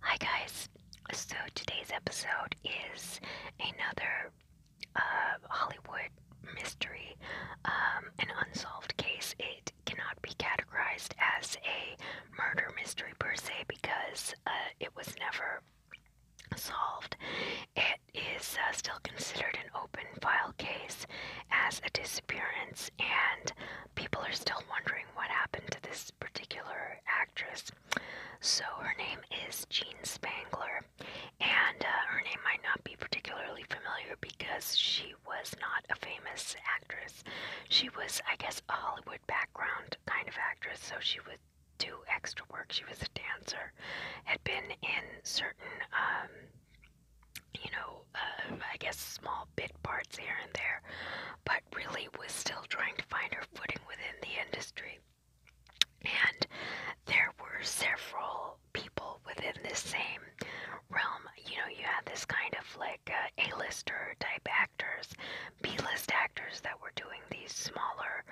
Hi guys. So today's episode is another uh, Hollywood mystery, um, an unsolved case. It cannot be categorized as a murder mystery per se because uh, it was never solved. It is uh, still considered an open file case as a disappearance and people are still wondering what happened to this particular actress. So her name is Jean Spangler, and uh, her name might not be particularly familiar because she was not a famous actress. She was, I guess, a Hollywood background kind of actress, so she would do extra work. She was a dancer, had been in certain, um, you know, uh, I guess small bit parts here and there but really was still trying to find her footing within the industry. And there were several people within this same realm. You know, you had this kind of like uh, A lister type actors, B list actors that were doing these smaller,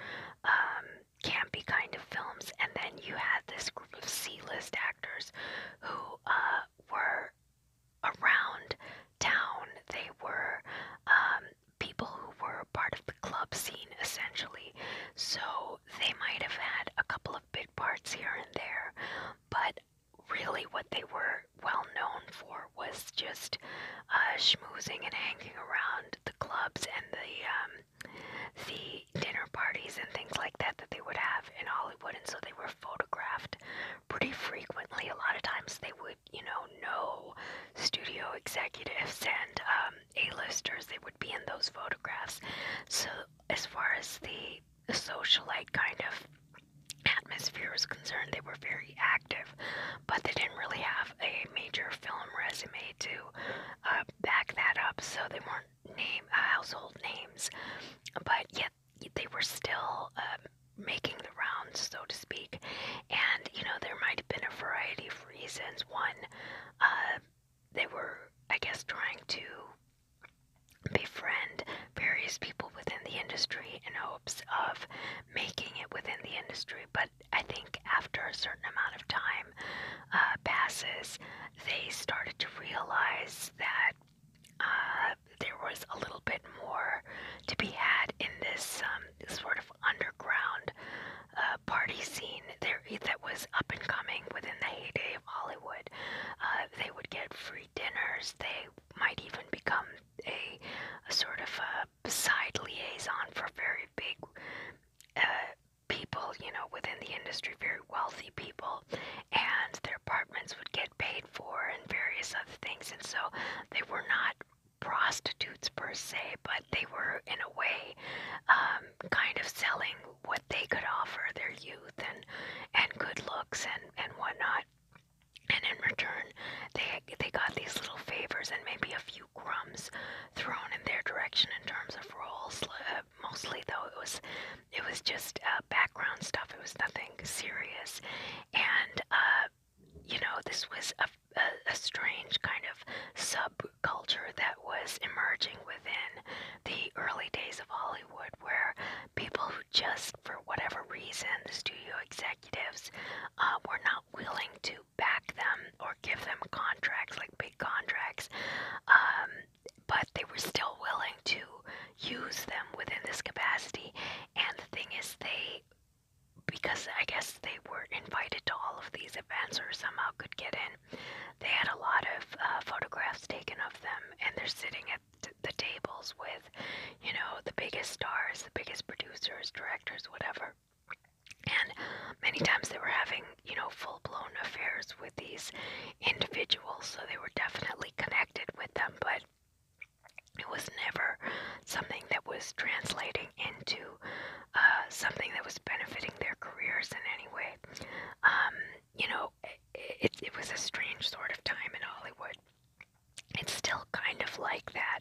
um, campy kind of films. And then you had this group of C list actors who uh, were around town. They were um, people who were part of the club scene essentially, so they might have had a couple of big parts here and there, but really what they were well known for was just uh, schmoozing and hanging around the clubs and the um, the dinner parties and things like that that they would have in Hollywood, and so they were were photographed pretty frequently. A lot of times they would, you know, know studio executives and um, A-listers. They would be in those photographs. So as far as the, the socialite kind of atmosphere was concerned, they were very active, but they didn't really have a major film resume to uh, back that up, so they weren't name uh, household names. But yes, they were still um, making the rounds, so to speak. And you know, there might have been a variety of reasons. One, uh, they were, I guess, trying to befriend various people within the industry in hopes of making it within the industry. But I think after a certain amount of time uh, passes, they started to realize that uh, there was a little bit more to be had in this um, sort of underground uh, party scene there that was up and coming within the heyday of Hollywood. Uh, they would get free dinners. They might even become a, a sort of a side liaison for very big uh, people, you know, within the industry, very wealthy people, and their apartments would get paid paid for and various other things. And so they were not prostitutes per se, but they were in a way um, kind of selling what they could offer their youth and and good looks and and whatnot. And in return, they they got these little favors and maybe a few crumbs thrown in their direction in terms of roles. Uh, mostly though, it was it was just uh, background stuff. It was nothing serious, and uh, you know, this was a, a, a strange kind of subculture that was emerging within the early days of Hollywood, where people who just, for whatever reason, the studio executives uh, were not willing to back them or give them contracts, like big contracts, um, but they were still willing to use them within this capacity. And the thing is, they they because I guess they were invited to all of these events or somehow could get in. They had a lot of uh, photographs taken of them, and they're sitting at th the tables with, you know, the biggest stars, the biggest producers, directors, whatever. And many times they were having, you know, full blown affairs with these individuals, so they were definitely connected with them. But it was never something that was translating into uh, something that was benefiting their careers in any way. Um, you know, it, was a strange sort of time in Hollywood. It's still kind of like that,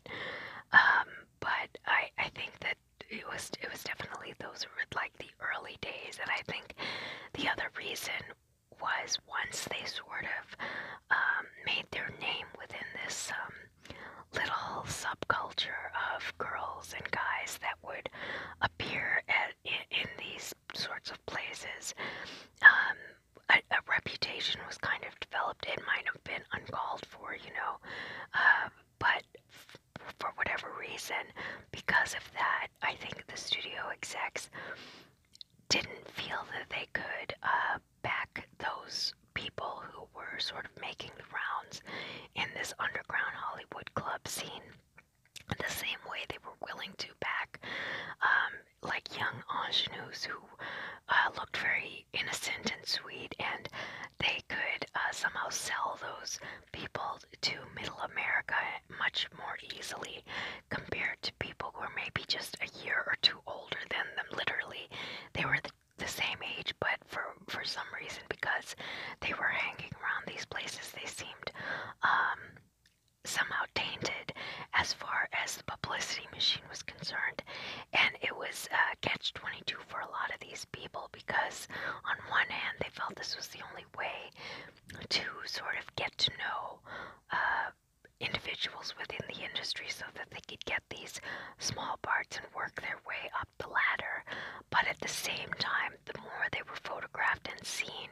um, but I, think that it was it was definitely those were like the early days, and I think the other reason was once they sort of um, made their name within this um, little subculture of girls and guys that would appear at, in, these sorts of places, um, a, reputation was kind of developed. It might have been uncalled for, you know, uh, but for whatever reason, because of that, I think the studio execs didn't feel that they could uh, back those people who were sort of making the rounds in this underground Hollywood club scene the same way they were willing to back um, like young ingenues who uh, looked very innocent and sweet and they could uh, somehow sell those people to middle America much more easily compared to people who are maybe just a year or two older than them. Literally, they were the, the same age, but for for some reason, because they were hanging around these places, they seemed um, somehow tainted as far as the publicity machine was concerned. And it was uh, catch twenty two for a lot of these people because on one hand, they felt this was the only way to sort of get to know uh, individuals within the industry so that they could get these small parts and work their way up the ladder. But at the same time, the more they were photographed and seen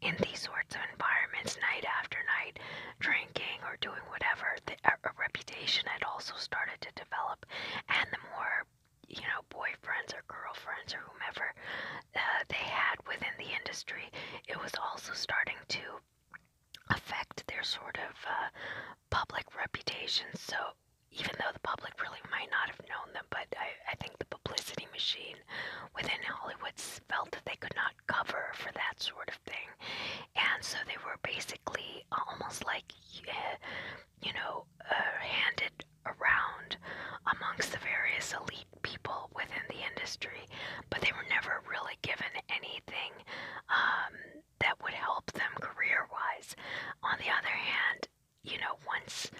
in these sorts of environments, night after night, drinking or doing whatever, the, a, uh, a reputation had also started to develop. And the more you know, boyfriends or girlfriends or whomever uh, they had within the industry, it was also starting to affect their sort of uh, public reputation. So even though the public really might not have known them, but I, I think the publicity machine within Hollywood felt that they could not cover for that sort of thing. And so they were basically almost like, uh, you know, uh, handed around amongst the various elite people within the industry, but they were never really given anything something um, that would help them career wise. On the other hand, you know, once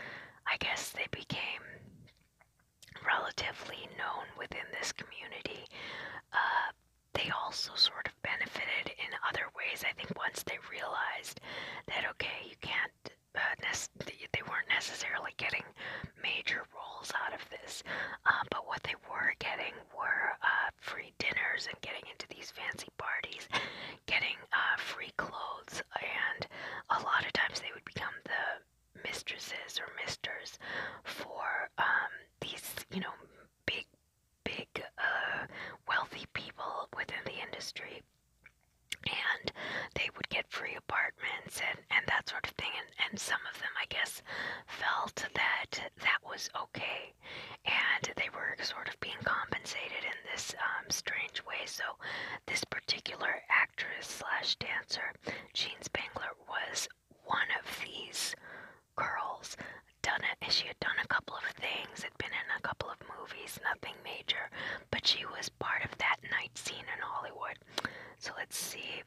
I guess they became relatively known within this community, uh, they also sort of benefited in other ways. I think once they realized that, okay, you can't, uh, they weren't necessarily getting major roles out of this, uh, but what they were getting were uh, free dinners and getting into these fancy parties, getting uh, free clothes, and a lot of times they would become the mistresses or misters for um, these, you know, big, big, uh, wealthy people within the industry. And they would get free apartments and, and that sort of thing. And, and some of them, I guess, felt that that was okay. And they were sort of being compensated in this um, strange way. So this particular actress slash dancer, Jean Spangler, was one of these girls done it she had done a couple of things had been in a couple of movies nothing major but she was part of that night scene in hollywood so let's see,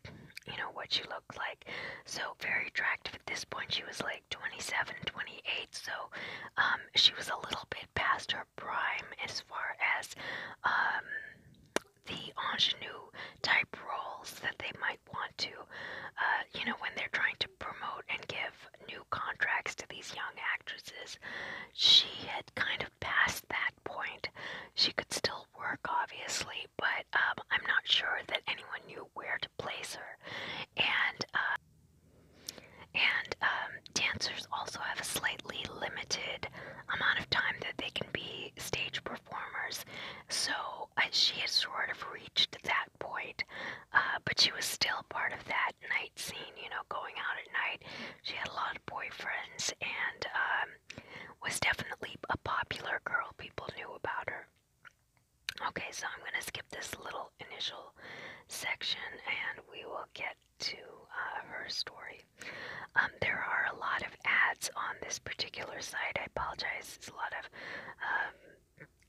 you know, what she looked like. So very attractive at this point. She was like 27, 28. So um, she was a little bit past her prime as far as um, the ingenue type roles that they might want to, uh, you know, when they're trying to promote and give new contracts to these young actresses. She had kind of passed that point. She could still still work, obviously, but um, I'm not sure that anyone knew where to place her. And uh, and um, dancers also have a slightly limited amount of time that they can be stage performers. So uh, she had sort of reached that point, uh, but she was still part of that night scene. You know, going out at night. She had a lot of boyfriends and. Um, was definitely a popular girl. People knew about her. Okay, so I'm going to skip this little initial section and we will get to uh, her story. Um, there are a lot of ads on this particular site. I apologize. It's a lot of um,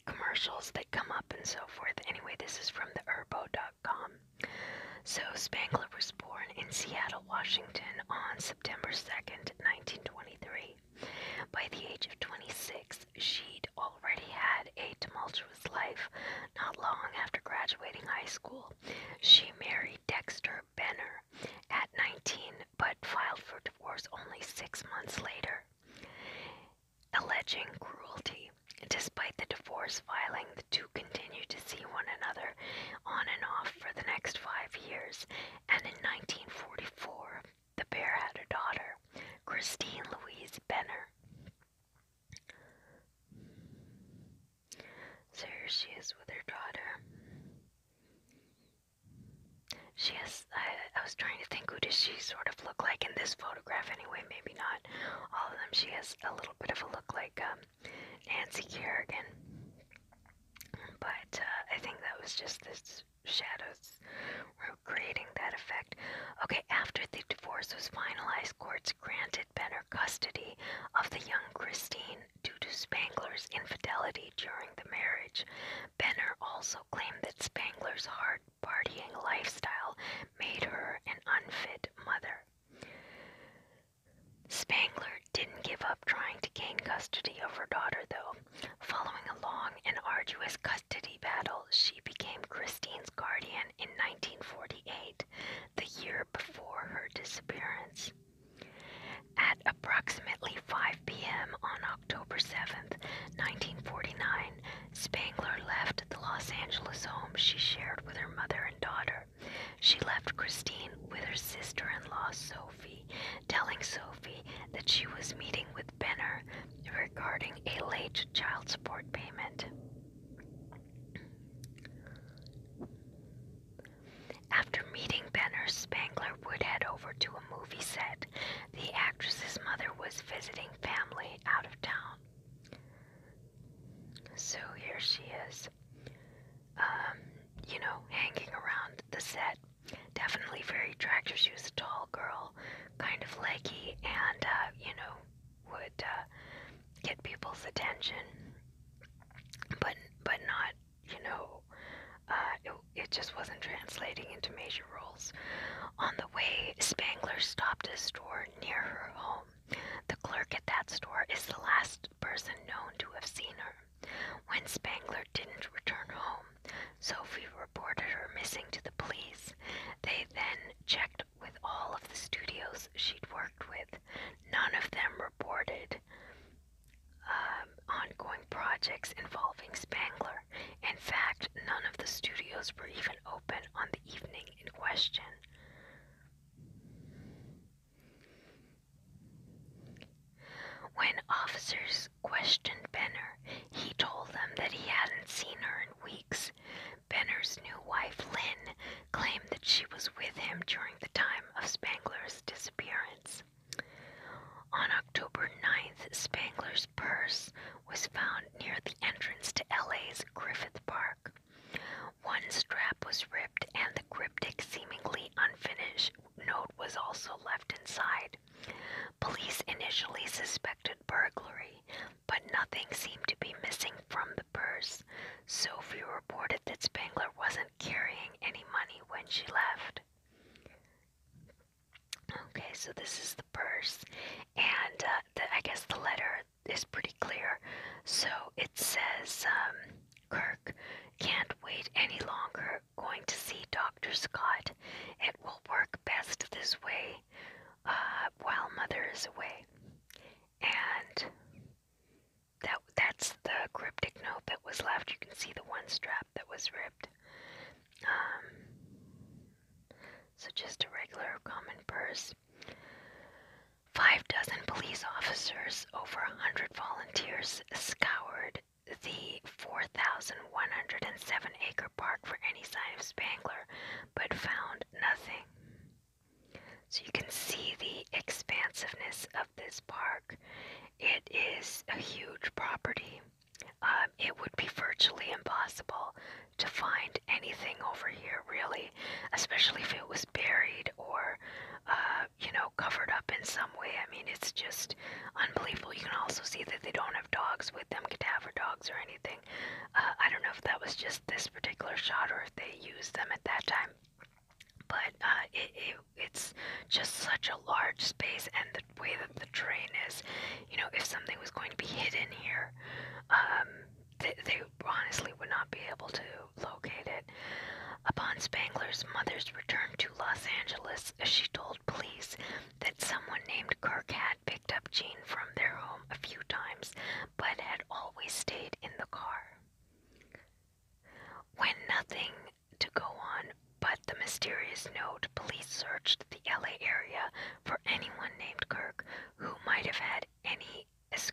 commercials that come up and so forth. Anyway, this is from theherbo.com. So Spangler was born in Seattle, Washington on September 2nd, 1923. By the age of 26, she'd already had a tumultuous life. Not long after graduating high school, she married Dexter Benner at 19 but filed for divorce only six months later, alleging cruelty. Despite the divorce filing, the two continued to see one another on and off for the next five years, and in 1944, the pair had a daughter, Christine Louise Benner. So here she is with her daughter. She has, I, was trying to think, who does she sort of look like in this photograph anyway? Maybe not all of them. She has a little bit of a look like um, Nancy Kerrigan. But uh, I think that was just the shadows were creating that effect. Okay, after the divorce was finalized, courts granted Benner custody of the young Christine due to Spangler's infidelity during the marriage. Benner also claimed that Spangler's hard partying lifestyle made her an unfit mother. Spangler didn't give up trying to gain custody of her daughter, though. Following a long and arduous custody battle, she became Christine's guardian in 1948, the year before her disappearance. At approximately 5 p.m. on October 7, 1949, Spangler left the Los Angeles home she shared with her mother and daughter. She left Christine with her sister in law, Zoe. Sophie, telling Sophie that she was meeting with Benner regarding a late child support payment. After meeting Benner, Spangler would head over to a movie set. The actress's mother was visiting family out of town. So here she is, um, you know, hanging around the set Definitely very attractive. She was a tall girl, kind of leggy, and, uh, you know, would uh, get people's attention, but but not, you know, uh, it, it just wasn't translating into major roles. On the way, Spangler stopped at a store near her home. The clerk at that store is the last person known to have seen her. When Spangler didn't return home, Sophie reported her missing to the police. They then checked with all of the studios she'd worked with. None of them reported um, ongoing projects involving Spangler. In fact, none of the studios were even open on the evening in question. When officers questioned Benner, he told them that he hadn't seen her in weeks. Benner's new wife, Lynn, claimed that she was with him during the time of Spangler's disappearance. On October 9th, Spangler's purse was found near the entrance to LA's Griffith Park. One strap was ripped and the cryptic, seemingly unfinished note was also left inside. Police initially suspected burglary, but nothing seemed to be missing from the purse. Sophie reported that Spangler wasn't carrying any money when she left. Okay, so this is the purse, and uh, I guess the letter is pretty clear. So it says, um, Kirk can't wait any longer going to see Dr. Scott, it will work best this way uh, while Mother is away. And that that's the cryptic note that was left. You can see the one strap that was ripped. Um, so just a regular common purse. Five dozen police officers, over a hundred volunteers, scoured the 4,107 acre park for any sign of Spangler, but found nothing. So you can see the expansiveness of this park. It is a huge property. Um, it would be virtually impossible to find anything over here, really, especially if it was buried or uh, you know, covered up in some way. I mean, it's just unbelievable. You can also see that they don't have dogs with them, cadaver dogs or anything. Uh, I don't know if that was just this particular shot or if they used them at that time. But uh, it, it, it's just such a large space, and the way that the train is, you know, if something was going to be hidden here, um, they, they honestly would not be able to locate it. Upon Spangler's mother's return to Los Angeles, she told police that someone named Kirk had picked up Jean from their home a few times but had always stayed in the car. When nothing to go on but the mysterious note, police searched the LA area for anyone named Kirk who might have had any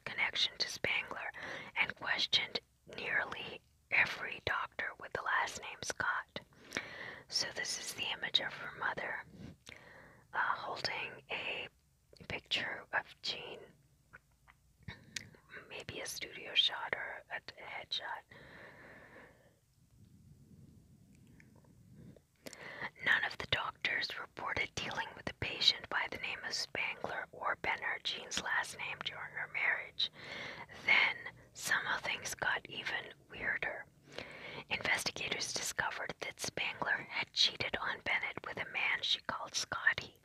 connection to Spangler and questioned nearly every doctor with the last name Scott. So, this is the image of her mother uh, holding a picture of Jean, maybe a studio shot or a, a headshot. None of the doctors reported dealing with a patient by the name of Spangler or Benner, Jean's last name during her marriage. Then, Somehow things got even weirder. Investigators discovered that Spangler had cheated on Bennett with a man she called Scotty.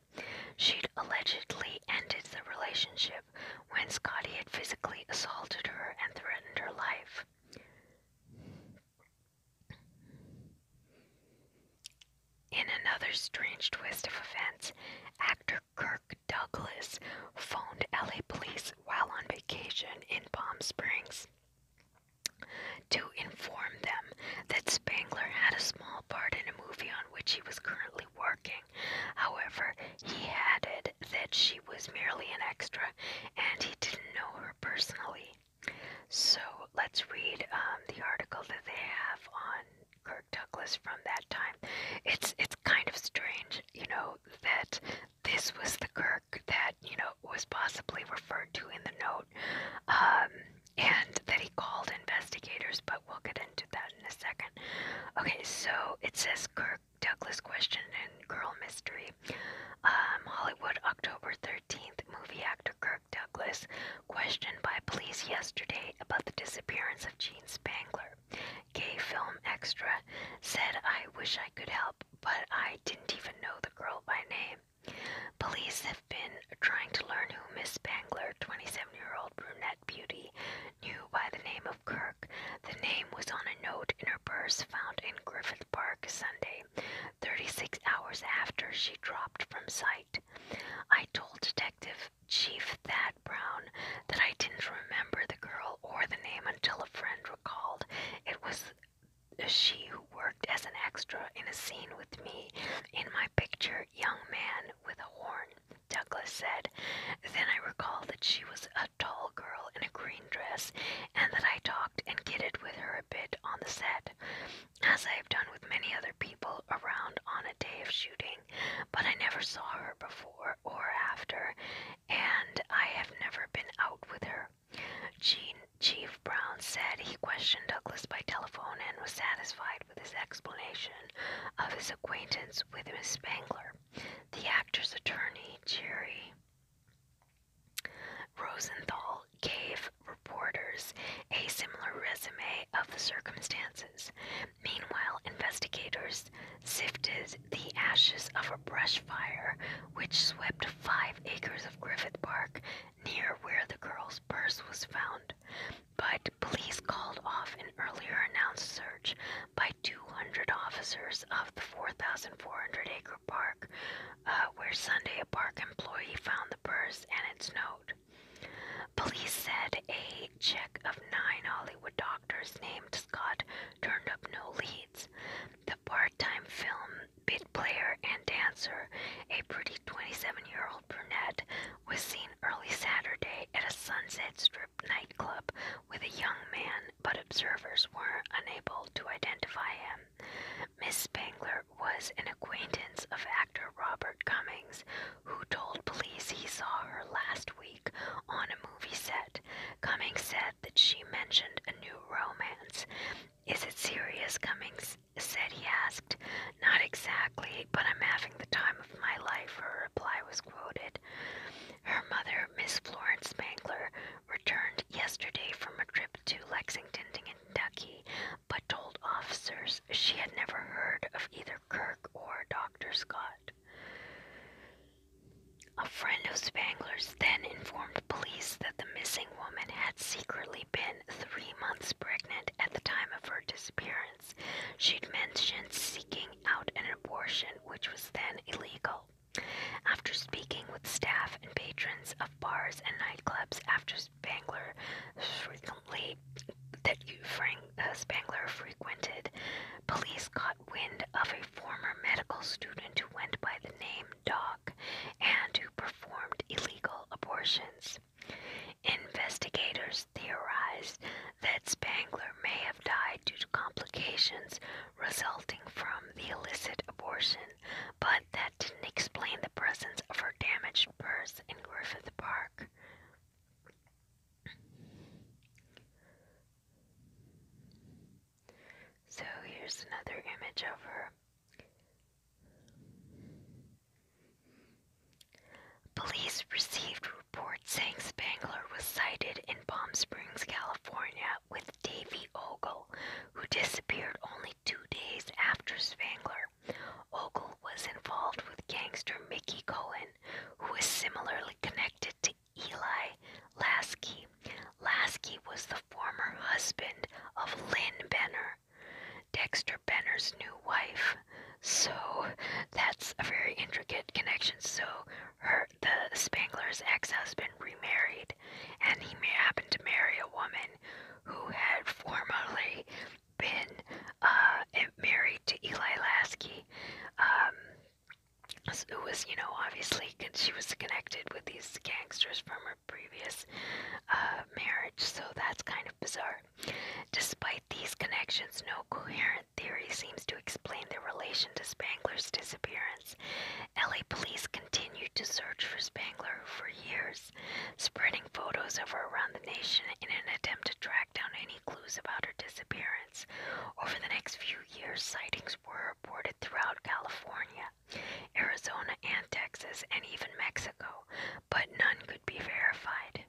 She'd allegedly ended the relationship when Scotty had physically assaulted her and threatened her life. In another strange twist of events, actor Kirk Douglas phoned LA police while on vacation in Palm Springs to inform them that Spangler had a small part in a movie on which he was currently working. However, he added that she was merely an extra and he didn't know her personally. So let's read um, the article that they have on Kirk Douglas from that time. It's it's kind of strange you know, that this was the Kirk that, you know, was possibly referred to in the note, um, and that he called investigators, but we'll get into that in a second. Okay, so it says Kirk Douglas question and girl mystery. Um, Hollywood, October 13th, movie actor Kirk Douglas questioned by police yesterday about the disappearance of Gene Spangler gay film extra, said I wish I could help, but I didn't even know the girl by name. Police have been trying to learn who Miss Spangler, 27 year old brunette beauty, knew by the name of Kirk. The name was on a note in her purse found in Griffith Park Sunday, 36 hours after she dropped from sight. I told Detective Chief Thad Brown that I didn't remember the girl or the name until a friend recalled it was she who worked as an extra in a scene with me in my picture, Young Man with a Horn, Douglas said. Then I recalled that she was a tall girl in a green dress and that I talked and kidded with her a bit on the set. As I have done with many other people around on a day of shooting, but I never saw her before or after, and I have never been out with her. Jean, Chief Brown said he questioned Douglas by telephone and was satisfied with his explanation of his acquaintance with Miss Spangler. The actor's attorney, Jerry Rosenthal, gave reporters a similar resume of the circumstances. Meanwhile, investigators sifted the ashes of a brush fire which swept five acres of Griffith Park near where the girl's purse was found. But police called off an earlier announced search by 200 officers of the 4,400 acre park, uh, where Sunday a park employee found the purse and its note. Police said a check of nine Hollywood doctors named Scott turned up no leads. The part-time film bit player and dancer, a pretty 27-year-old brunette, was seen early Saturday at a Sunset Strip nightclub with a young man, but observers were unable to identify him. Miss Spangler was an acquaintance of actor Robert Cummings, who told police he saw her last week on a movie set. Cummings said that she mentioned a new romance. Is it serious? Cummings said, he asked. Not exactly, but I'm having the time of my life, her reply was quoted. Her mother, Miss Florence Spangler, returned yesterday from a trip to Lexington, Kentucky, but told officers she had never heard of either Kirk or Dr. Scott. A friend of Spangler's then informed police that the missing woman had secretly been three months pregnant at the time of her disappearance. She'd mentioned seeking out an abortion, which was then illegal. After speaking with staff and patrons of bars and nightclubs, after Spangler frequently that uh, Spangler frequented, police caught wind of a former medical student who went by the name Doc and who performed illegal abortions. Investigators theorized that Spangler may have died due to complications resulting from the illicit abortion, but that didn't explain the presence of her damaged purse in Griffith Park. So here's another image of her. Police received reports saying Spangler was sighted in Palm Springs, California, with Davy Ogle, who disappeared only two days after Spangler. Ogle was involved with gangster Mickey Cohen, who was similarly connected to Eli Lasky. Lasky was the former husband of Lynn Benner, Dexter Benner's new wife. So that's a very intricate connection. So her the Spangler's ex-husband remarried, and he may happen to marry a woman who had formerly been uh, married to Eli Lasky. Um, it was, you know, obviously she was connected with these gangsters from her previous uh, marriage, so that's kind of bizarre. Despite these connections, no coherent theory seems to explain the relation to Spangler's disappearance. LA police continued to search for Spangler for years, spreading photos of her around the nation in an attempt to track down any clues about her disappearance. Over the next few years, sightings were reported throughout California, Arizona, and Texas, and even Mexico, but none could be verified.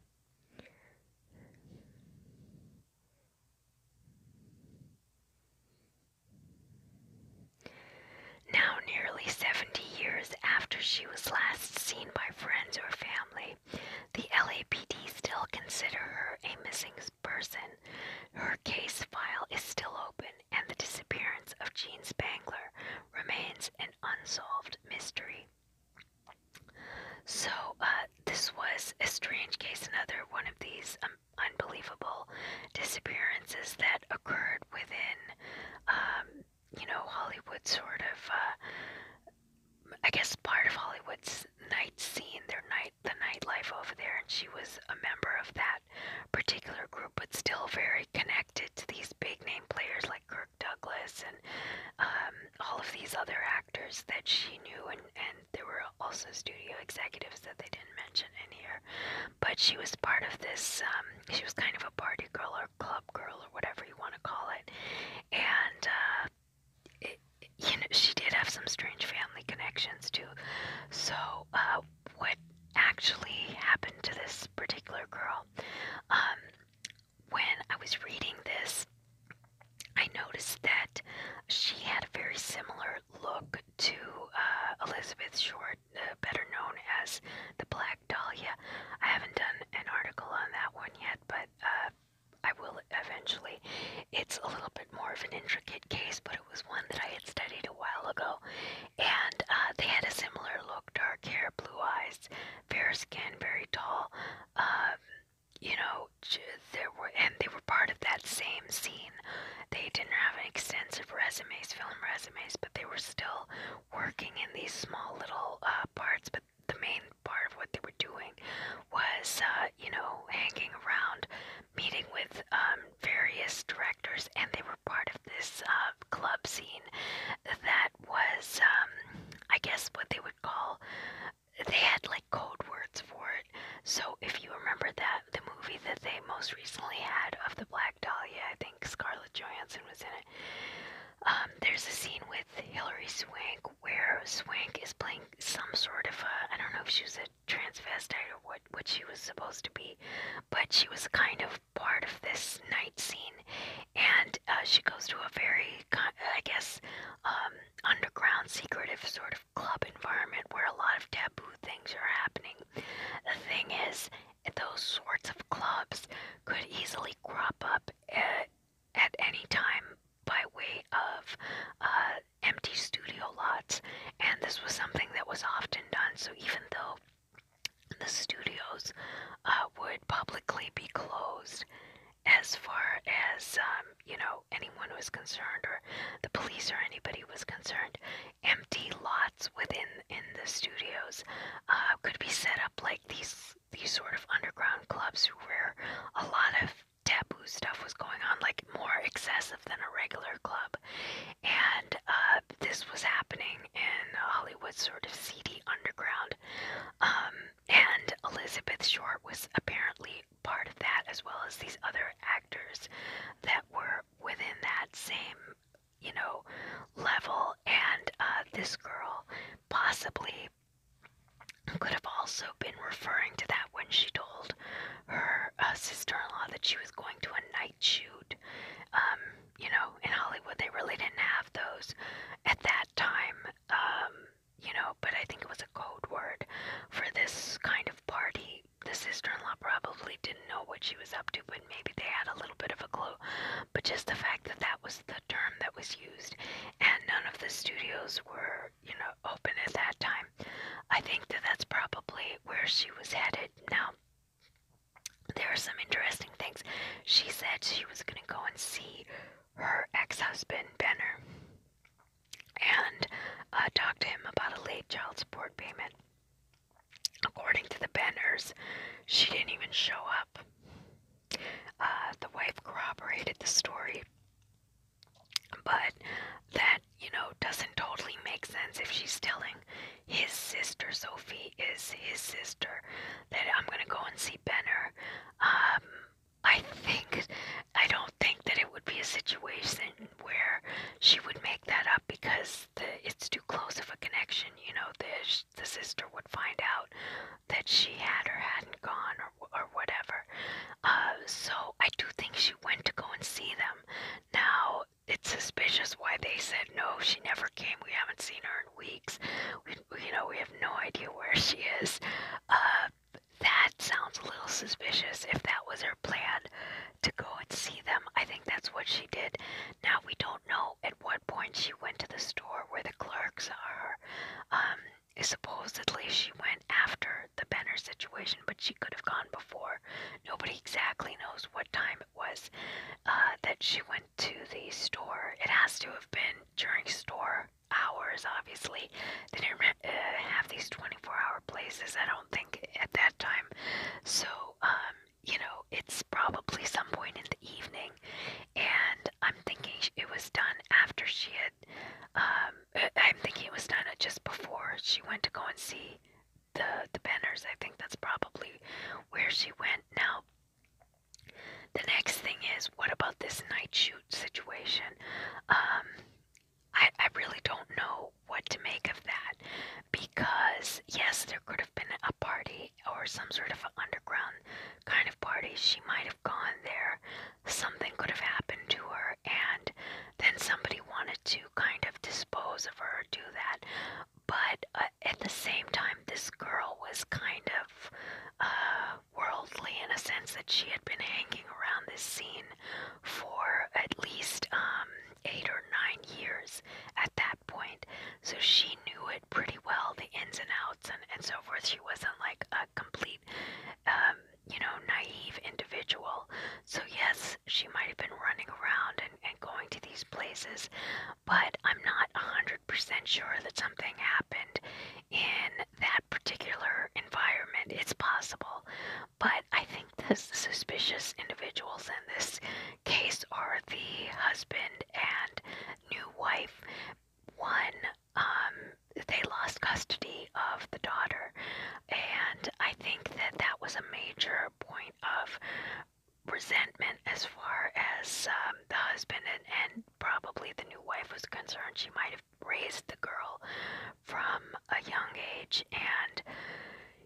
Now, nearly 70 years after she was last seen by friends or family, the LAPD still consider her a missing person, her case file is still open, and the disappearance of Jean Spangler remains an unsolved mystery. So, uh, this was a strange case, another one of these um, unbelievable disappearances that occurred within, um, you know, Hollywood sort of, uh, I guess, part of Hollywood's night scene, their night night the nightlife over there, and she was a member of that particular group, but still very connected to these big name players like Kirk Douglas and um, all of these other actors that she knew, and and there were also studio executives that they didn't mention in here, but she was part of this. Um, she was kind of a party girl or club girl or whatever you want to call it, and uh, you know, she did have some strange family connections too. So, uh, what actually happened to this particular girl? Um, when I was reading this, I noticed that she had a very similar look to uh, Elizabeth Short, uh, better known as the Black Dahlia. I haven't done an article on that one yet, but I will eventually. It's a little bit more of an intricate case, but it was one that I had studied a while ago. And uh, they had a similar look dark hair, blue eyes, fair skin, very tall. Um, you know, there were, and they were part of that same scene. They didn't have an extensive resumes, film resumes, but they were still working in these small little uh, parts. But the main part of what they were doing was, uh, you know, hanging around, meeting with um, various directors, and they were part of this uh, club scene that was, um, I guess, what they would call. They had like code words for it. So if you remember that, the movie that they most recently had of the Black Dahlia, I think Scarlett Johansson was in it. Um, there's a scene with Hilary Swank where Swank is playing some sort of a, I don't know if she was a transvestite or what, what she was supposed to be, but she was kind of part of this night scene. And uh, she goes to a very, I guess, um, underground, secretive sort of club environment where a lot of taboo things are happening. The thing is, those sorts of clubs could easily crop up at, uh, at any time by way of uh, empty studio lots, and this was something that was often done. So even though the studios uh, would publicly be closed as far as um, you know anyone was concerned or the police or anybody was concerned empty lots within in the studios uh, could be set up like these these sort of underground clubs where a lot of taboo stuff was going on, like more excessive than a regular club. And uh, this was happening in Hollywood, sort of seedy underground. Um, and Elizabeth Short was apparently part of that, as well as these other actors that were within that same, you know, level. And uh, this girl possibly could have also been referring to that when she told her uh, sister-in-law that she was going to a night shoot. Um, you know, in Hollywood, they really didn't have those at that time. Um, you know, but I think it was a code word for this kind of party. The sister-in-law probably didn't know what she was up to, but maybe they had a little bit of a clue. But just the fact that that was the term that was used, and none of the studios were you know, open at that time. I think that that's probably where she was headed. Now, there are some interesting things. She said she was going to go and see her ex husband, Benner, and uh, talk to him about a late child support payment. According to the Benners, she didn't even show up. Uh, the wife corroborated the story but that, you know, doesn't totally make sense if she's telling his sister, Sophie is his sister, that I'm gonna go and see Benner. Um, I think, I don't think that it would be a situation where she would make that up because the, it's too close of a connection. You know, the, the sister would find out that she had or hadn't gone or or or whatever. Uh, so I do think she went to go and see them. Now it's suspicious why they said no. She never came. We haven't seen her in weeks. We, you know, we have no idea where she is. Uh, that sounds a little suspicious. If that was her plan to go and see them, I think that's what she did. Now we don't know at what point she went to the store where the clerks are. Um, Supposedly, she went after the Benner situation, but she could have gone before. Nobody exactly knows what time it was uh, that she went to the store. It has to have been during store hours, obviously. They didn't uh, have these 24 hour places, I don't think, at that time. So, um, you know, it's probably some point in the evening, and I'm thinking it was done after she had um, uh, I'm thinking it was done just before she went to go and see the the banners. I think that's probably where she went. Now, the next thing is, what about this night shoot situation? Um, I I really don't know what to make of that because yes, there could have been a party or some sort of underground kind of party. She might have gone there something could have happened to her, and then somebody wanted to kind of dispose of her, do that. But uh, at the same time, this girl was kind of uh, worldly in a sense that she had been hanging around this scene for at least um, eight or nine years at that point. So she knew it pretty well, the ins and outs and, and so forth. She wasn't like a complete um, you know, naive individual. So, yes, she might have been running around and, and going to these places, but I'm not 100% sure that something happened in that particular environment. It's possible, but I think the suspicious individuals in this case are the husband and new wife. One um, they lost custody of the daughter. And I think that that was a major point of resentment as far as um, the husband and, and probably the new wife was concerned. She might have raised the girl from a young age and,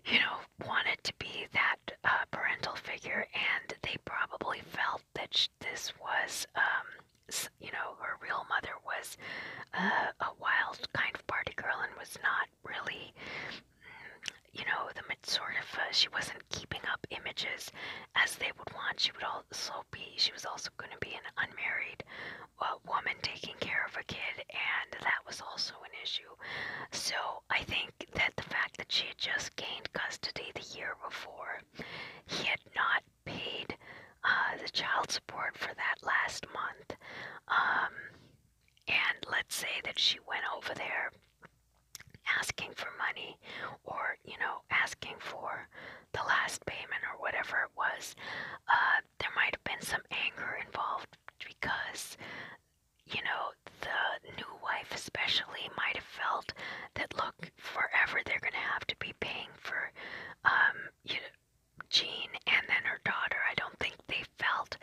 you know, wanted to be that uh, parental figure, and they probably felt that sh- this was. Um, you know, her real mother was uh, a wild kind of party girl and was not really, mm, you know, the sort of, uh, she wasn't keeping up images as they would want. She would also be, she was also going to be an unmarried uh, woman taking care of a kid, and that was also an issue. So I think that the fact that she had just gained custody the year before, he had not paid uh, the child support for that last month. Um, and let's say that she went over there asking for money or, you know, asking for the last payment or whatever it was. Uh, there might have been some anger involved because, you know, the new wife especially might have felt that, look, forever they're going to have to be paying for, um, you know, Jean and then her daughter, I don't think they felt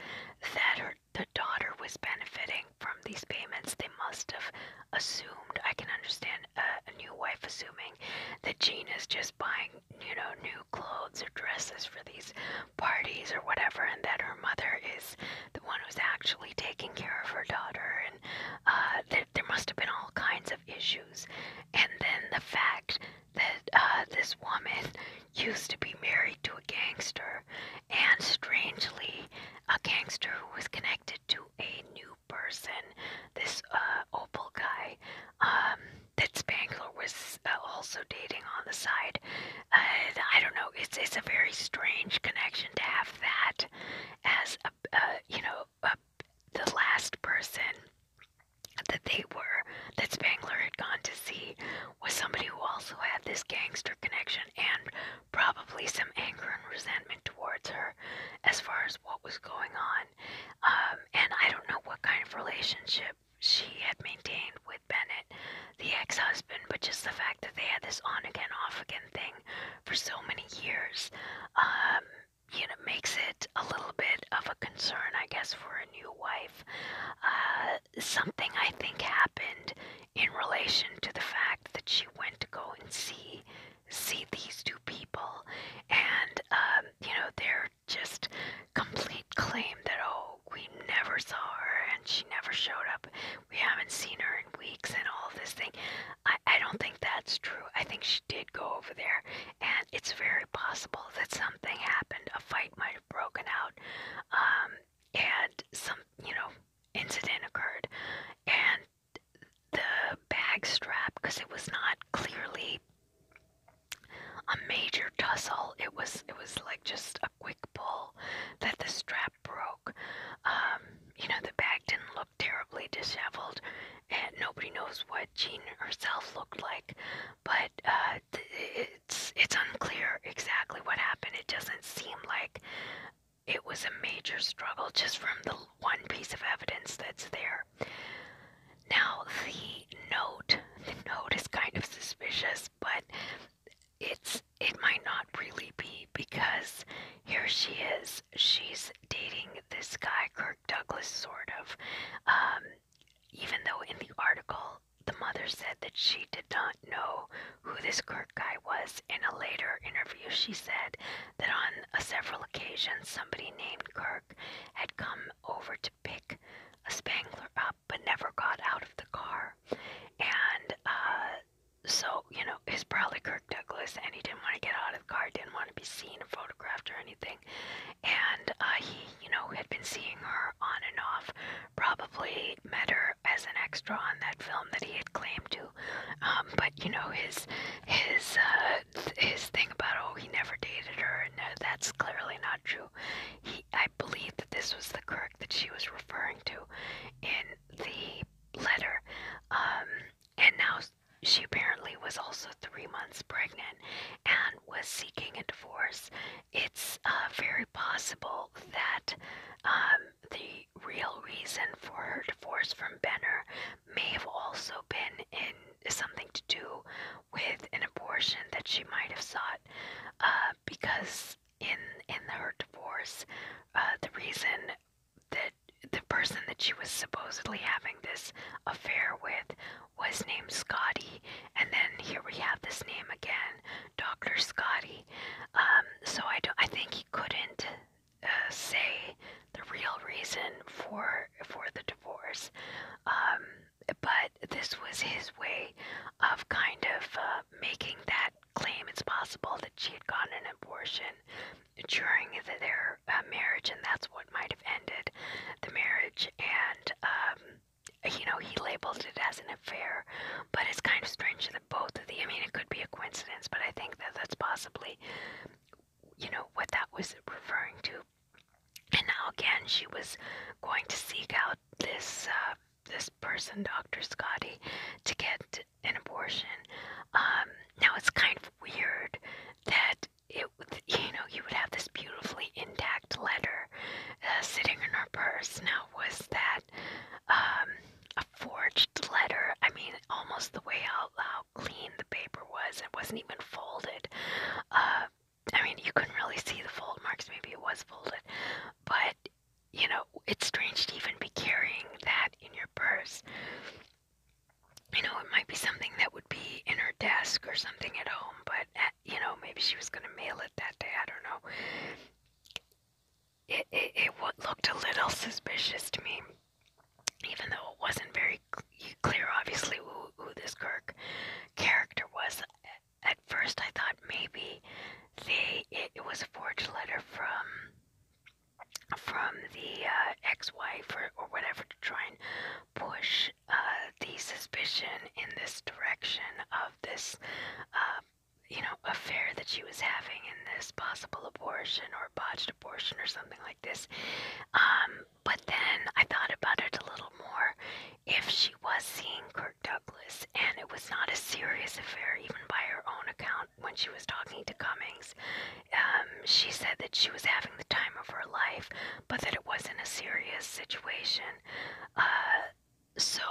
that her the daughter was benefiting from these payments. They must have assumed. I can understand a, a new wife assuming that Jean is just buying, you know, new clothes or dresses for these parties or whatever, and that her mother is the one who's actually taking care of her daughter. And uh, there, there must have been all kinds of issues. And then the fact that uh, this woman used to be married to a gangster, and strangely, a gangster who was connected to a new person, this uh, Opal guy um, that Spangler was uh, also dating on the side. Uh, I don't know. It's it's a very strange connection to have that as a uh, you know uh, the last person that they were that Spangler had gone to see was somebody who also had this gangster connection and probably some anger and resentment towards her as far as what was going on. Um, and I don't know what kind of relationship she had maintained with Bennett, the ex husband, but just the fact that they had this on again, off again thing for so many years. Um, you know, makes it a little bit of a concern, I guess, for a new wife. Uh, something I think happened in relation to the fact that she went to go and see see these two people, and um, you know, their just complete claim that oh, we never saw her and she never showed up. We haven't seen her in weeks and all this thing. I, I don't think that's true. I think she did go over there and it's very possible that something happened. A fight might have broken out, um, and some, you know, incident occurred, and the bag strap, because it was not clearly a major tussle. It was, it was like just a quick pull that the strap broke. Um, you know, the bag didn't look terribly disheveled, and nobody knows what Jean herself looked like, but uh, it's it's unclear exactly what happened. It doesn't seem like it was a major struggle just from the one piece of evidence that's there. Now the note, the note is kind of suspicious, but it's it might not really be because here she is. She's dating this guy, Kirk Douglas, sort of. Um, even though in the article the mother said that she did not know who this Kirk guy was, in a later interview she said that on uh, several occasions somebody named Kirk had come over to pick a Spangler up but never got out of the car. And uh, so, you know, it's probably Kirk Douglas and he didn't want to get out of the car, didn't want to be seen or photographed or anything and uh, he, you know, had been seeing her on and off. Probably met her as an extra on that film that he had claimed to. Um, but you know, his his uh, his thing about oh, he never dated her, and no, uh, that's clearly not true. He, I believe that this was the Kirk that she was referring to in the letter. Um, and now she apparently was also three months pregnant and was seeking a divorce. It's uh, very possible that um, the real reason for her divorce from Benner may have also been in something to do with an abortion that she might have sought, uh, because in in her divorce, uh, the reason that the person that she was supposedly having this affair with was named Scotty, and then here we have this name again, Doctor Scotty. Um, so I don't. I think he couldn't uh, say the real reason for for the divorce, um, but this was his way of kind of uh, making that claim. It's possible that she had gotten an abortion during their uh, marriage, and that's what might have ended the marriage and um, you know he labeled it as an affair but it's kind of strange that both of the i mean it could be a coincidence but i think that that's possibly you know what that was referring to and now again she was going to seek out this uh, this person dr scotty to get an abortion um, now it's kind of weird that it you know you would have this beautifully intact letter uh, sitting in her purse. Now was that um, a forged letter? I mean, almost the way how, how clean the paper was. It wasn't even folded. Uh, I mean, you couldn't really see the fold marks. Maybe it was folded, but you know, it's strange to even be carrying that in your purse you know, it might be something that would be in her desk or something at home, but, at, uh, you know, maybe she was going to mail it that day. I don't know. It, it, it looked a little suspicious to me, even though it wasn't very clear, obviously, who, who this Kirk character was. At first, I thought maybe they it, it was a forged letter from from the uh, ex-wife or, or whatever to try and push uh, the suspicion in this direction of this, um, you know, affair that she was having in this possible abortion or botched abortion or something like this. Um, but then I thought about it a little more. If she was seeing Kirk Douglas and it was not a serious affair, even by her own account, when she was talking to Cummings, um, she said that she was having the time of her life, but that it wasn't a serious situation. Uh, so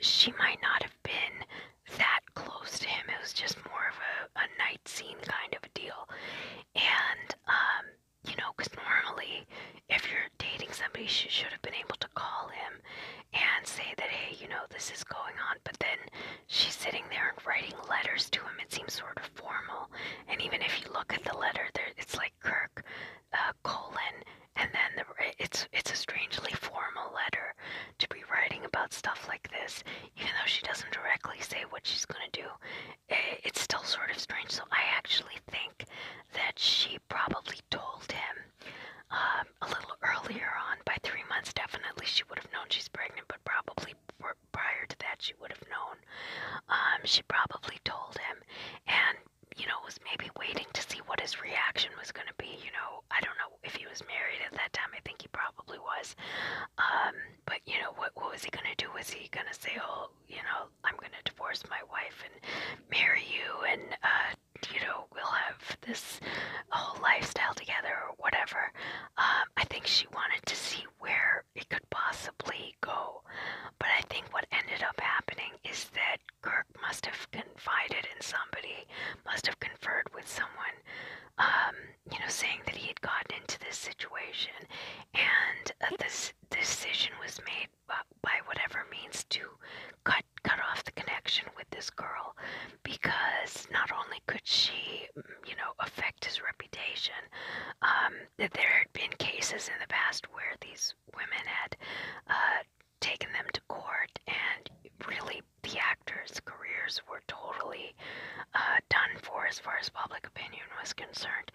she might not have been that close to him. It was just more of a, night scene kind of a deal. And, um, you know, because normally if you're dating somebody, she should have been able to call him and say that, hey, you know, this is going on. But then she's sitting there and writing letters to him. It seems sort of sort of formal. And even if you look at the letter, there it's like Kirk uh, colon, and then the, it's it's a strangely formal letter to be writing about stuff like this. Even though she doesn't directly say what she's gonna do, it, eh, it's still sort of strange. So I actually think that she probably told him. Um, a little earlier on, by three months, definitely she would have known she's pregnant, but probably pr somewhere prior to that she would have known. Um, she probably told him and, you know, was maybe waiting to see what his reaction was going to be. You know, I don't know if he was married at that time. I think he probably was. Um, but, you know, what, what was he going to do? Was he going to say, oh, you know, I'm going to divorce my wife and marry you and, uh, you know, we'll have this whole lifestyle together or whatever. Um, I think she wanted to see where it could possibly go. But I think what ended up happening is that Kirk must have confided in somebody, must have conferred with someone, um, you know, saying that he had gotten into this situation, and uh, this decision was made by whatever means to cut cut off the connection with this girl, because not only could she, you know, affect his reputation, um, that there had been cases in the past where these women had uh, taken them to court, and really the actors' careers were totally uh, done for as far as public opinion was concerned.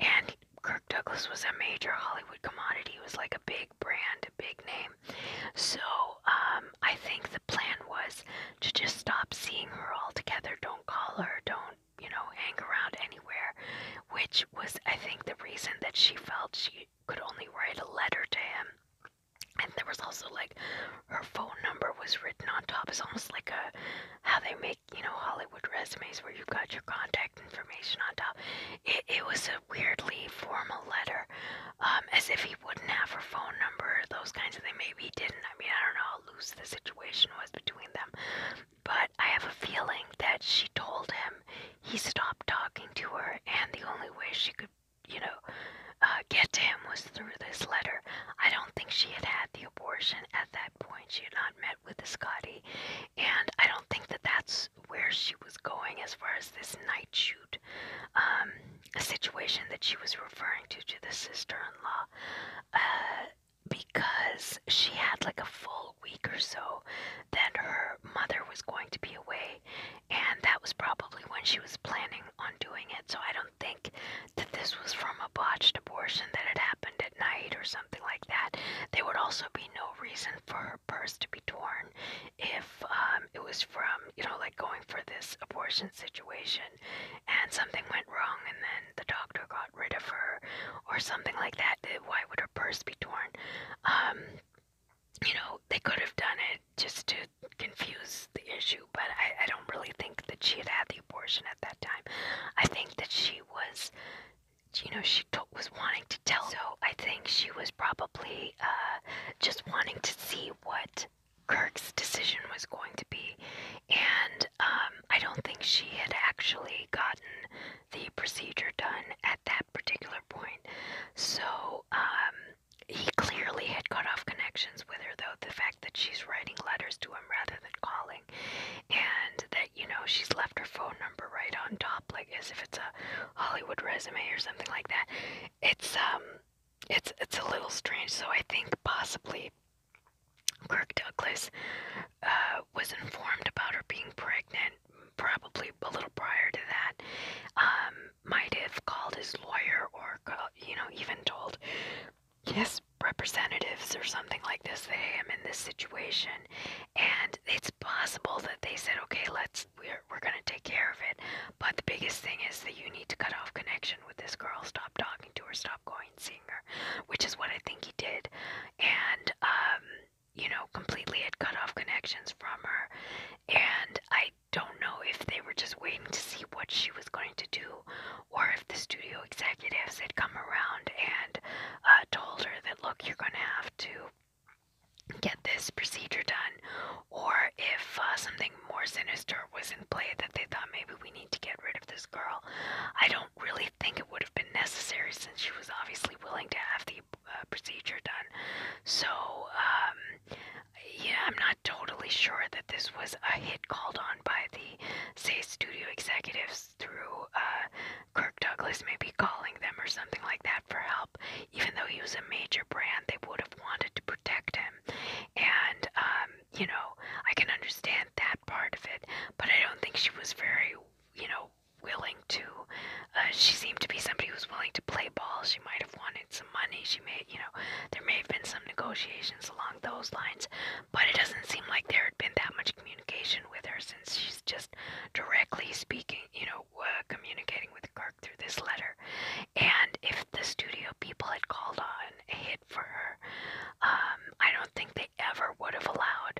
And Kirk Douglas was a major Hollywood commodity, he was like a big brand, a big name. So um, I think the plan was to just stop seeing her altogether. Don't call her, don't you know, hang around anywhere, which was, I think, the reason that she felt she could only write a letter to him. And there was also like her phone number was written on top. It's almost like a how they make you know Hollywood resumes where you got your contact information on top. It, it was a weirdly formal letter, um, as if he wouldn't have her phone number. Those kinds of things. Maybe he didn't. I mean, I don't know how loose the situation was between them but I have a feeling that she told him he stopped talking to her, and the only way she could, you know, uh, get to him was through this letter. I don't think she had had the abortion at that point. She had not met with the Scotty, and I don't think that that's where she was going as far as this night shoot um, situation that she was referring to to the sister-in-law. Uh, because she had like a full week or so that her mother was going to be away, and that was probably when she was planning on doing it. So I don't think that this was from a botched abortion that had happened at night or something like that. There would also be no reason for her purse to be torn if um, it was from, you know, like going for this abortion situation and something went wrong and then the doctor got got rid of her or something like that. Why would her purse be torn? Um, you know, they could have done it just to confuse the issue, but I, I don't really think that she had had the abortion at that time. I think that she was, you know, she t- was wanting to tell. So I think she was probably uh, just wanting to see what Kirk's decision was going to be. And and um, I don't think she had actually gotten the procedure done at that particular point. So um, he clearly had cut off connections with her, though the fact that she's writing letters to him rather than calling, and that you know she's left her phone number right on top, like as if it's a Hollywood resume or something like that. It's um, it's it's a little strange. So I think possibly Kirk Douglas uh, was informed about her being pregnant, probably a little prior to that. Um, might have called his lawyer or, you know, even told yes, representatives or something like this that, hey, I'm in this situation. And it's possible that they said, okay, let's, we're, we're going to take care of it. But the biggest thing is that you need to cut off connection with this girl. Stop talking to her. Stop going singer, which is what I think he did. And, um, you know, completely had cut off connections from her. And I don't know if they were just waiting to see what she was going to do or if the studio executives had come around and uh, told her that, look, you're going to have to get this procedure done, or if uh, something more sinister was in play that they thought maybe we need to get rid of this girl. I don't don't really think it would have been necessary since she was obviously willing to have the uh, procedure done. So, um, yeah, I'm not totally sure that this was a hit called on by the, say, studio executives through uh, Kirk Douglas, maybe calling them or something like that for help. Even though he was a major brand, they would have wanted to protect him. And, um, you know, I can understand that part of it, but I don't think she was very you know, willing to. Uh, she seemed to be somebody who was willing to play ball. She might have wanted some money. She may, you know, there may have been some negotiations along those lines, but it doesn't seem like there had been that much communication with her since she's just directly speaking, you know, uh, communicating with Kirk through this letter. And if the studio people had called on a hit for her, um, I don't think they ever would have allowed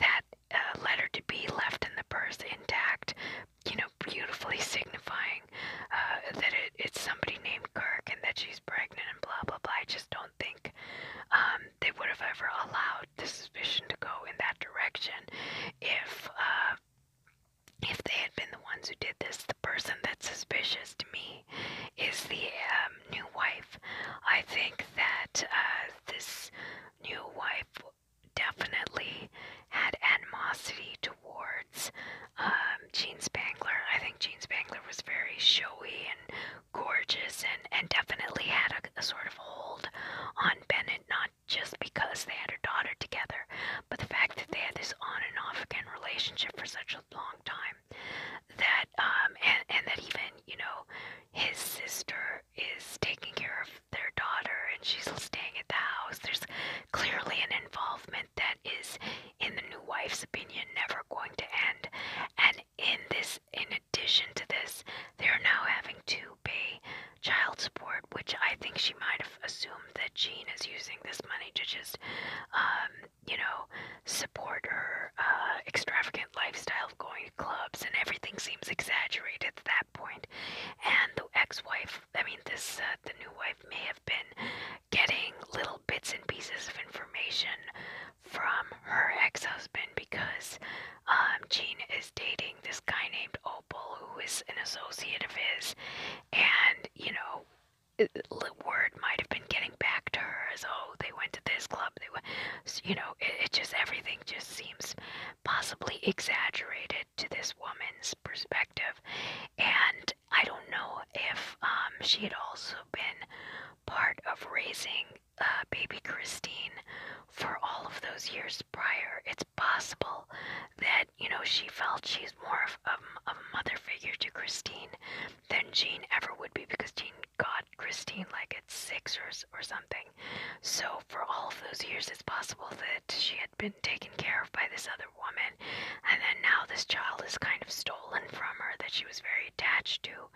that uh, letter to be left in the purse intact, you know, beautifully signifying uh, that it, it's somebody named Kirk and that she's pregnant and blah blah blah. I just don't think um, they would have ever allowed the suspicion to go in that direction if uh, if they had been the ones who did this. The person that's suspicious to me is the um, new wife. I think that uh, this new wife definitely had animosity towards um, Jean Spangler. I think Jean Spangler was very showy and gorgeous and, and definitely had a, a sort of hold on Bennett, not just because they had her daughter together, but the fact that they had this on and off again relationship for such a long time time that um and, and that even you know his sister is taking care of their daughter and she's staying at the house there's clearly an involvement that is in the new wife's opinion never going to end and in this in addition to this they're now having to pay child support which i think she might have assumed that jean is using this money to just um you know support her uh, extravagant lifestyle of going to clubs, and everything seems exaggerated at that point. And the ex-wife, I mean, this uh, the new wife may have been getting little bits and pieces of information from her ex-husband because um, Gene is dating this guy named Opal, who is an associate of his, and you know, word might have been getting getting back to her as oh they went to this club they went you know it, it just everything just seems possibly exaggerated to this woman's perspective and I don't know if um, she had also been part of raising uh, baby Christine for all of those years prior. It's possible that, you know, she felt she's more of, of, of a mother figure to Christine than Jean ever would be because Jean got Christine like Sixers or, something. So, for all of those years, it's possible that she had been taken care of by this other woman, and then now this child is kind of stolen from her that she was very attached to.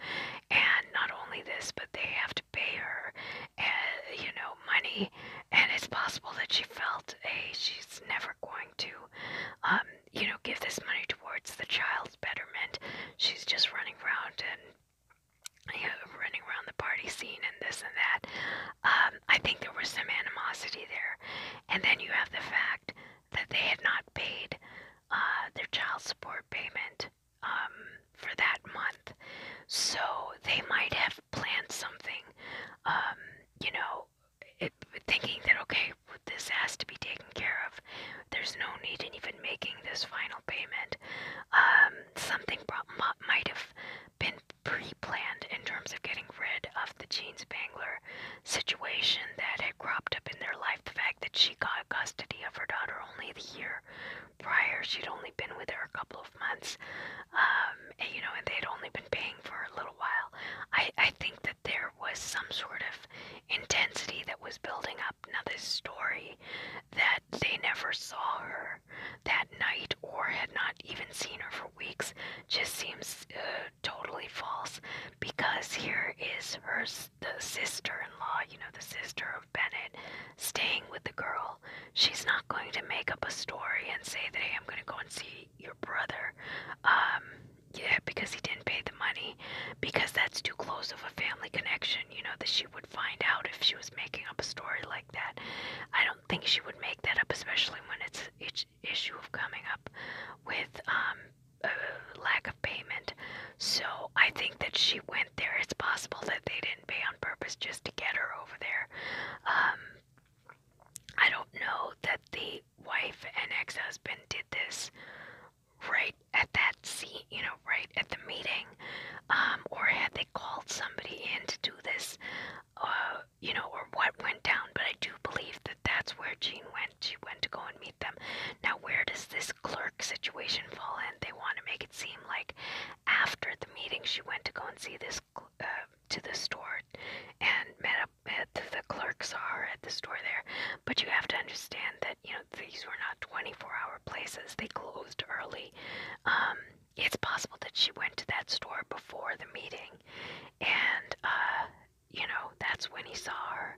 And not only this, but they have to pay her, uh, you know, money. And it's possible that she felt, hey, eh, she's never going to, um, you know, give this money towards the child's betterment. She's just running around and you know, running around the party scene and this and that. Um, I think there was some animosity there. And then you have the fact that they had not paid uh, their child support payment um, for that month. So they might have planned something, um, you know, it, thinking that, okay, this has to be taken care of. There's no need in even making this final payment. Um, something might have been pre-planned in terms of getting rid of the Jean Spangler situation that had cropped up in their life. The fact that she got custody of her daughter only the year prior. She'd only been with her a couple of months. Um, and, you know, and they'd only been paying for a little while. I, I think that there was some sort of intensity that was building up. Now, this story that they never saw her that night or had not even seen her for weeks just seems uh, totally false because here is her the sister-in-law, you know, the sister of Bennett staying with the girl. She's not going to make up a story and say that hey, I'm going to go and see your brother. Um, yeah, because he didn't pay the money because that's too close of a family connection imagine, you know, that she would find out if she was making up a story like that. I don't think she would make that up, especially when it's each issue of coming up with um, a lack of payment. So I think that she went there. It's possible that they didn't pay on purpose just to get her over there. Um, I don't know that the wife and ex husband did this right at that seat, you know, right at the meeting, um, or had they called somebody in to do this, uh, you know, or what went down. But I do believe that that's where Jean went. She went to go and meet them. Now, where does this clerk situation fall in? They want to make it seem like after the meeting, she went to go and see this uh, to the store and met up at the clerks are uh, at the store there. But you have to understand that you know these were not 24-hour places; they closed early. Um, it's possible that she went to that store before the meeting, and uh, you know that's when he saw her.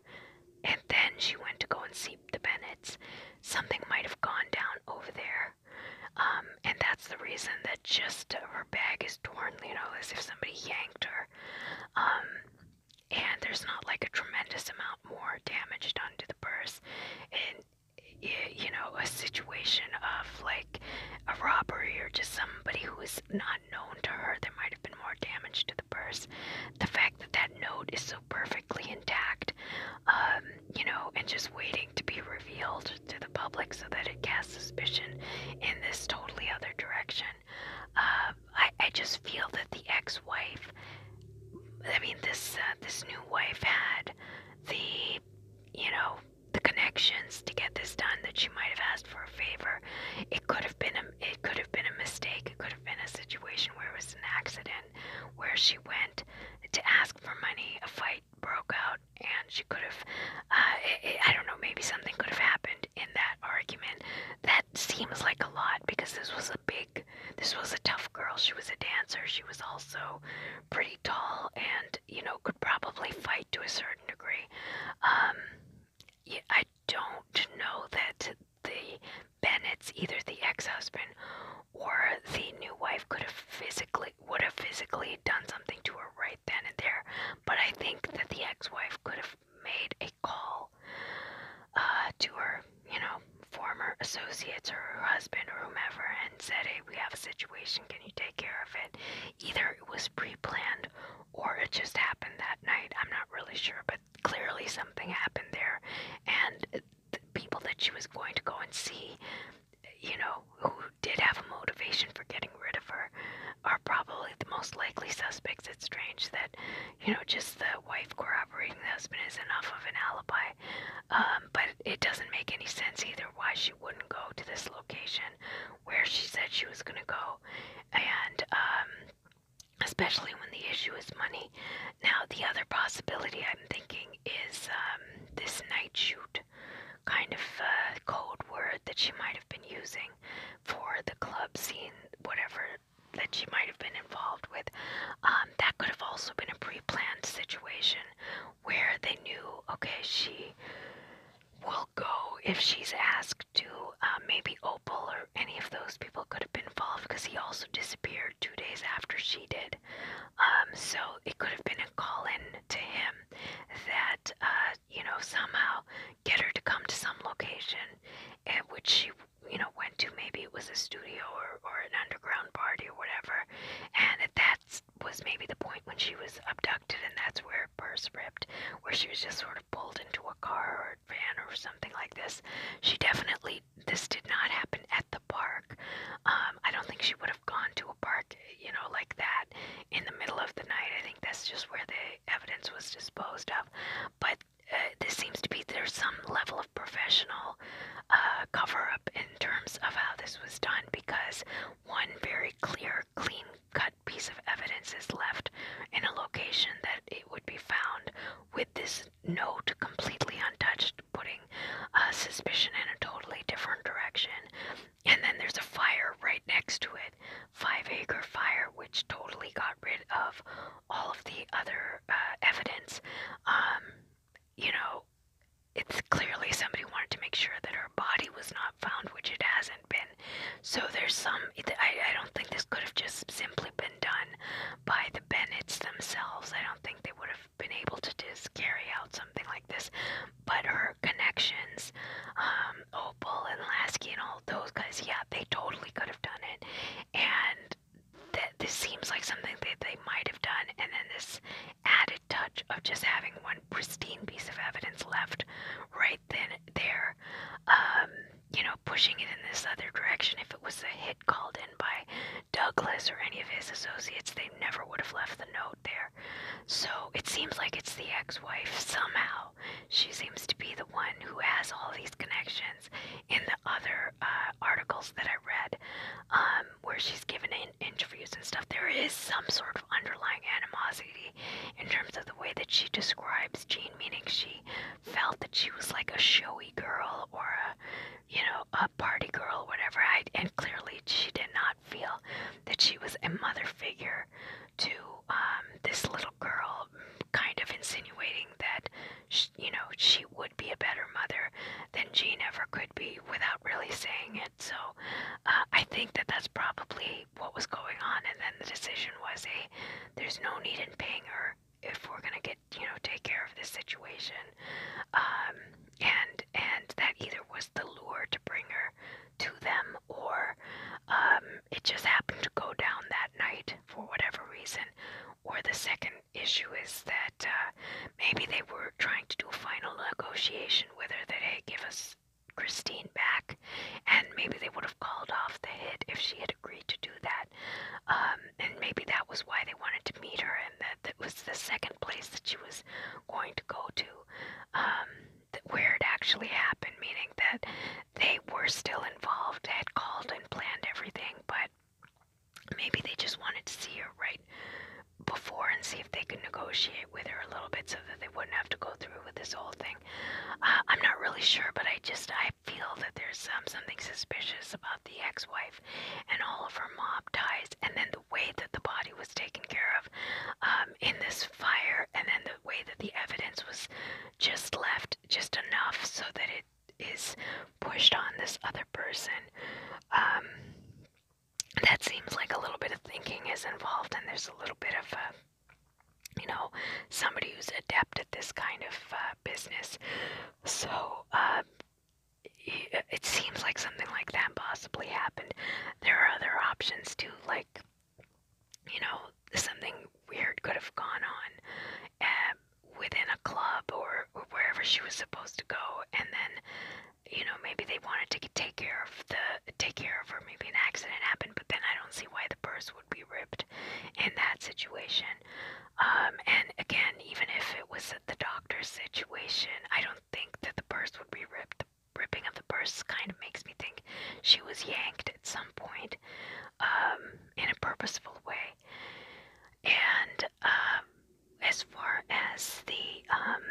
And then she went to go and see the Bennetts. Something might have gone down over there, um, and that's the reason that just her bag is torn. You know, as if somebody yanked her. Um, and there's not like a tremendous amount more damage done to the purse and you know a situation of like a robbery or just somebody who is not known to her there might have been more damage to the purse the fact that that note is so perfectly intact um, you know and just waiting to be revealed to the public so that it casts suspicion in this totally other direction um, I, just feel that the ex-wife, I mean this uh, this new wife had the you know the connections to get this done that she might have asked for a favor. It could have been a it could have been a mistake. It could have been a situation where it was an accident where she went to ask for money. A fight broke out, and she could have uh, I don't know maybe something could have happened in that argument. That seems like a lot because this was a big this was a tough girl. She was a dancer. She was also pretty tall and, you know, could probably fight to a certain degree. Um, I don't know that the Bennett's, either the ex-husband or the new wife, could have physically would have physically done something to her right then and there. But I think that the ex-wife could have made a call call uh, to her, you know, former associates or her husband or whomever and said, hey, we have a situation. Can you take care of it? Either it was pre planned or it just happened that night. I'm not really sure, but clearly something happened there. And the people that she was going to go and see, you know, who did have a motivation for getting rid of her, are probably the most likely suspects. It's strange that, you know, just the wife corroborating the husband is enough of an alibi, um, but it doesn't make any sense either why she wouldn't go to this location where she said she was going to go, and um, especially when the issue is money. Now, the other possibility I'm thinking is um, this night shoot kind of uh, code word that she might have been using for the club scene, whatever that she might have been involved with, um, that could have also been a pre-planned situation where they knew, okay, she will go if she's asked to. Uh, maybe Opal or any of those people could have been involved because he also disappeared two days after she did. Um, so it could have been a call-in to him that uh, you know somehow get her to come to some location at which she you know, went to. Maybe it was a studio or, or an underground party or whatever. And that that's, was maybe the point when she was abducted, and that's where her purse ripped, where she was just sort of pulled into a car or a van or something like this. She definitely, this did not happen at the park. Um, I don't think she would have gone to a park, you know, like that in the middle of the night. I think that's just where the evidence was disposed of. But uh, this seems to be there's some level of professional uh, cover up in terms of how this was done because one very clear, clean cut piece of evidence is left in a location that it would be found with this note completely untouched, putting uh, suspicion in a totally different direction. And then there's a fire right next to it, five acre fire, which totally got rid of all of the other uh, evidence, um, you know, it's clearly somebody wanted to make sure that her body was not found, which it hasn't been. So there's some, I, I don't think this could have just simply been done by the Bennetts themselves. I don't think they would have been able to just carry out something like this. But her connections, um, Opal and Lasky and all those guys, yeah, they totally could have done it. And that this seems like something that they might have done, and then this added touch of just having one pristine piece of evidence left right then there, um, you know, pushing it in this other direction. If it was a hit called in by Douglas or any of his associates, they never would have left the note there. So it seems like it's the ex wife somehow. She seems to be the one who has all these connections instance, in the other uh, articles that I read, um, where she's given in interviews and stuff, there is some sort of underlying animosity in terms of the way that she describes Jean, meaning she felt that she was like a showy girl or a, you know, a party girl, whatever. I, and clearly, she did not feel that she was a mother figure to um, this little girl, kind of insinuating thinking that, she, you know, she would be a better mother than Jean ever could be without really saying it. So uh, I think that that's probably what was going on. And then the decision was, hey, there's no need in paying her if we're gonna get, you know, take care of this situation. Um, and and that either was the lure to bring her to them, or um, it just happened to go down that night for whatever reason, or the second issue is that uh, maybe they were trying to do a final negotiation with her that, hey, give us Christine back, and maybe they would have called off the hit if she had agreed to do that. Um, and maybe that was why they wanted to meet her, and that, that was the second place that she was going to go to um, where it actually happened, meaning that they were still involved, had called and planned everything, but maybe they just wanted to see her right before and see if they could negotiate with her a little bit so that they wouldn't have to go through with this whole thing. Uh, I'm not really sure, but I just I feel that there's um, something suspicious about the ex-wife and all of her mob ties, and then the way that the body was taken care of um, in this fire, and then the way that the evidence was just left just enough so that it is pushed on this other person. Um, that seems like a little bit of thinking is involved, and there's a little bit of uh, you know, somebody who's adept at this kind of uh, business. So uh, it seems like something like that possibly happened. There are other options too, like, you know, something weird could have gone on within a club or, or wherever she was supposed to go and then you know maybe they wanted to take care of the take care of her maybe an accident happened but then i don't see why the purse would be ripped in that situation um, and again even if it was the doctor's situation i don't think that the purse would be ripped the ripping of the purse kind of makes me think she was yanked at some point um, in a purposeful way and um, as far as the um,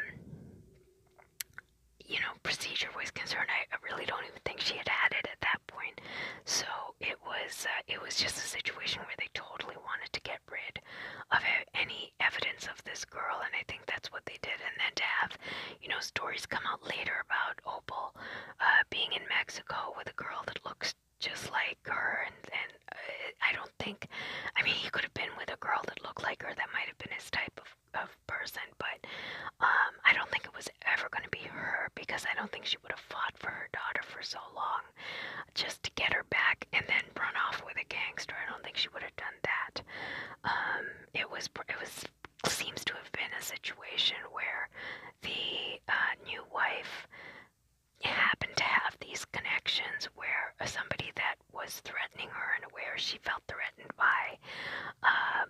you know procedure was concerned, I, I really don't even think she had had it at that point. So it was uh, it was just a situation where they totally wanted to get rid of any evidence of this girl, and I think that's what they did. And then to have you know stories come out later about Opal uh, being in Mexico with a girl that looks just like her, and, and uh, I don't think, I mean, he could have been with a girl that looked like her, that might have been his type of, of person, but um, I don't think it was ever going to be her because I don't think she would have fought for her daughter for so long just to get her back and then run off with a gangster. I don't think she would have done that. Um, it was, it was, seems to have been a situation where the uh, new wife happened to have these connections where uh, somebody that was threatening her and where she felt threatened by um,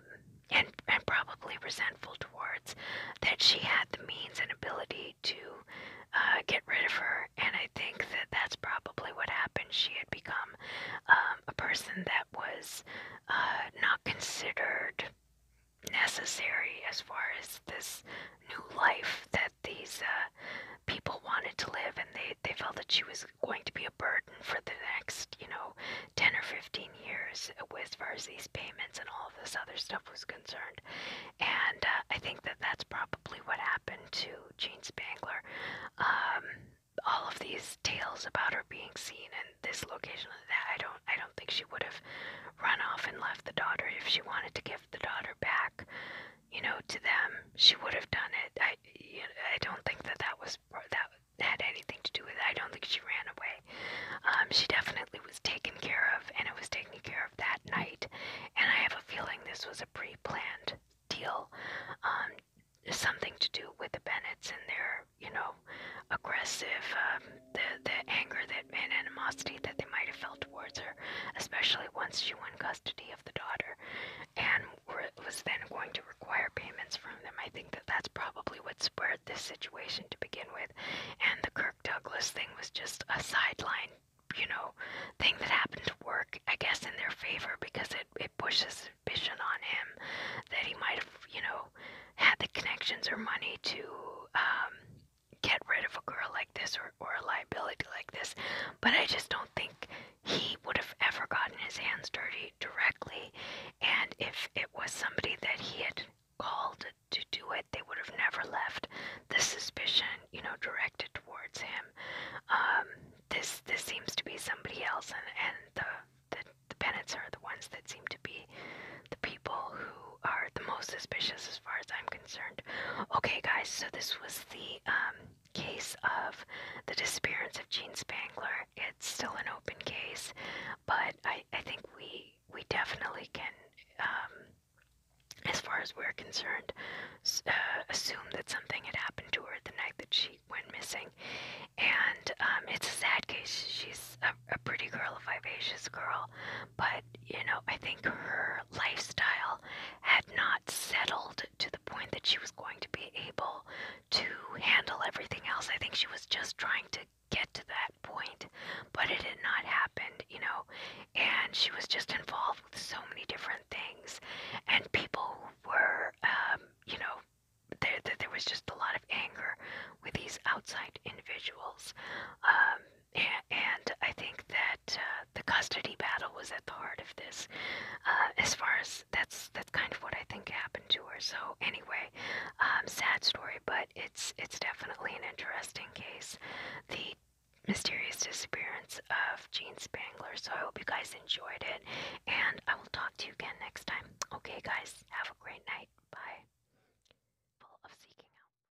and, and probably resentful towards that she had the means and ability to uh, get rid of her and i think that that's probably what happened she had become um, a person that was uh, not considered necessary as far as this new life that these uh, people wanted to live, and they, they felt that she was going to be a burden for the next, you know, 10 or 15 years as far as these payments and all of this other stuff was concerned. And uh, I think that that's probably what happened to Jean Spangler. Um, all of these tales about her being seen in this location and that I don't I don't think she would have run off and left the daughter if she wanted to give give the daughter back, you know, to them, she would have done it. I, you know, I don't think that that was that had anything to do with it. I don't think she ran away. Um, she definitely was taken care of, and it was taken care of that night. And I have a feeling this was a pre-planned deal, um, something to do with the Bennetts and their, you know, aggressive um, the, the anger that, and animosity that they might have felt towards her, especially once she won custody of the daughter and were, was then going to require payments from them. I think that that's probably what spurred this situation to begin with. And the Kirk Douglas thing was just a sideline, you know, thing that happened to work, I guess, in their favor because it, it pushes suspicion on him that he might have, you know, had the connections or money to. Um, get rid of a girl like this or, or a liability like this, but I just don't think he would have ever gotten his hands dirty directly. And if it was somebody that he had called to do it, they would have never left the suspicion, you know, directed towards him. Um, this this seems to be somebody else, and and the the, the Bennets are the ones that seem to be the people who are the most suspicious as far as I'm concerned. Okay, guys, so this was the um, case of the disappearance of Gene Spangler. It's still an open case, but I, I think we we definitely can, um, as far as we're concerned, uh, assume that something had happened to her the night that she went missing. And um, it's a sad case. She's a pretty girl, a vivacious girl, but you know, I think her her lifestyle had not settled to the point that she was going to be able to handle everything else. I think she was just trying to get to that point, but it had not happened, you know. And she was just involved with so many different things, and people were, um, you know, there, there was just a lot of anger with these outside individuals. Um, and I think that uh, the custody battle was at the heart of this. Uh, as far as that's that's kind of what I think happened to her. So anyway, um, sad story, but it's it's definitely an interesting case. The mysterious disappearance of Jean Spangler. So I hope you guys enjoyed it, and I will talk to you again next time. Okay, guys, have a great night. Bye.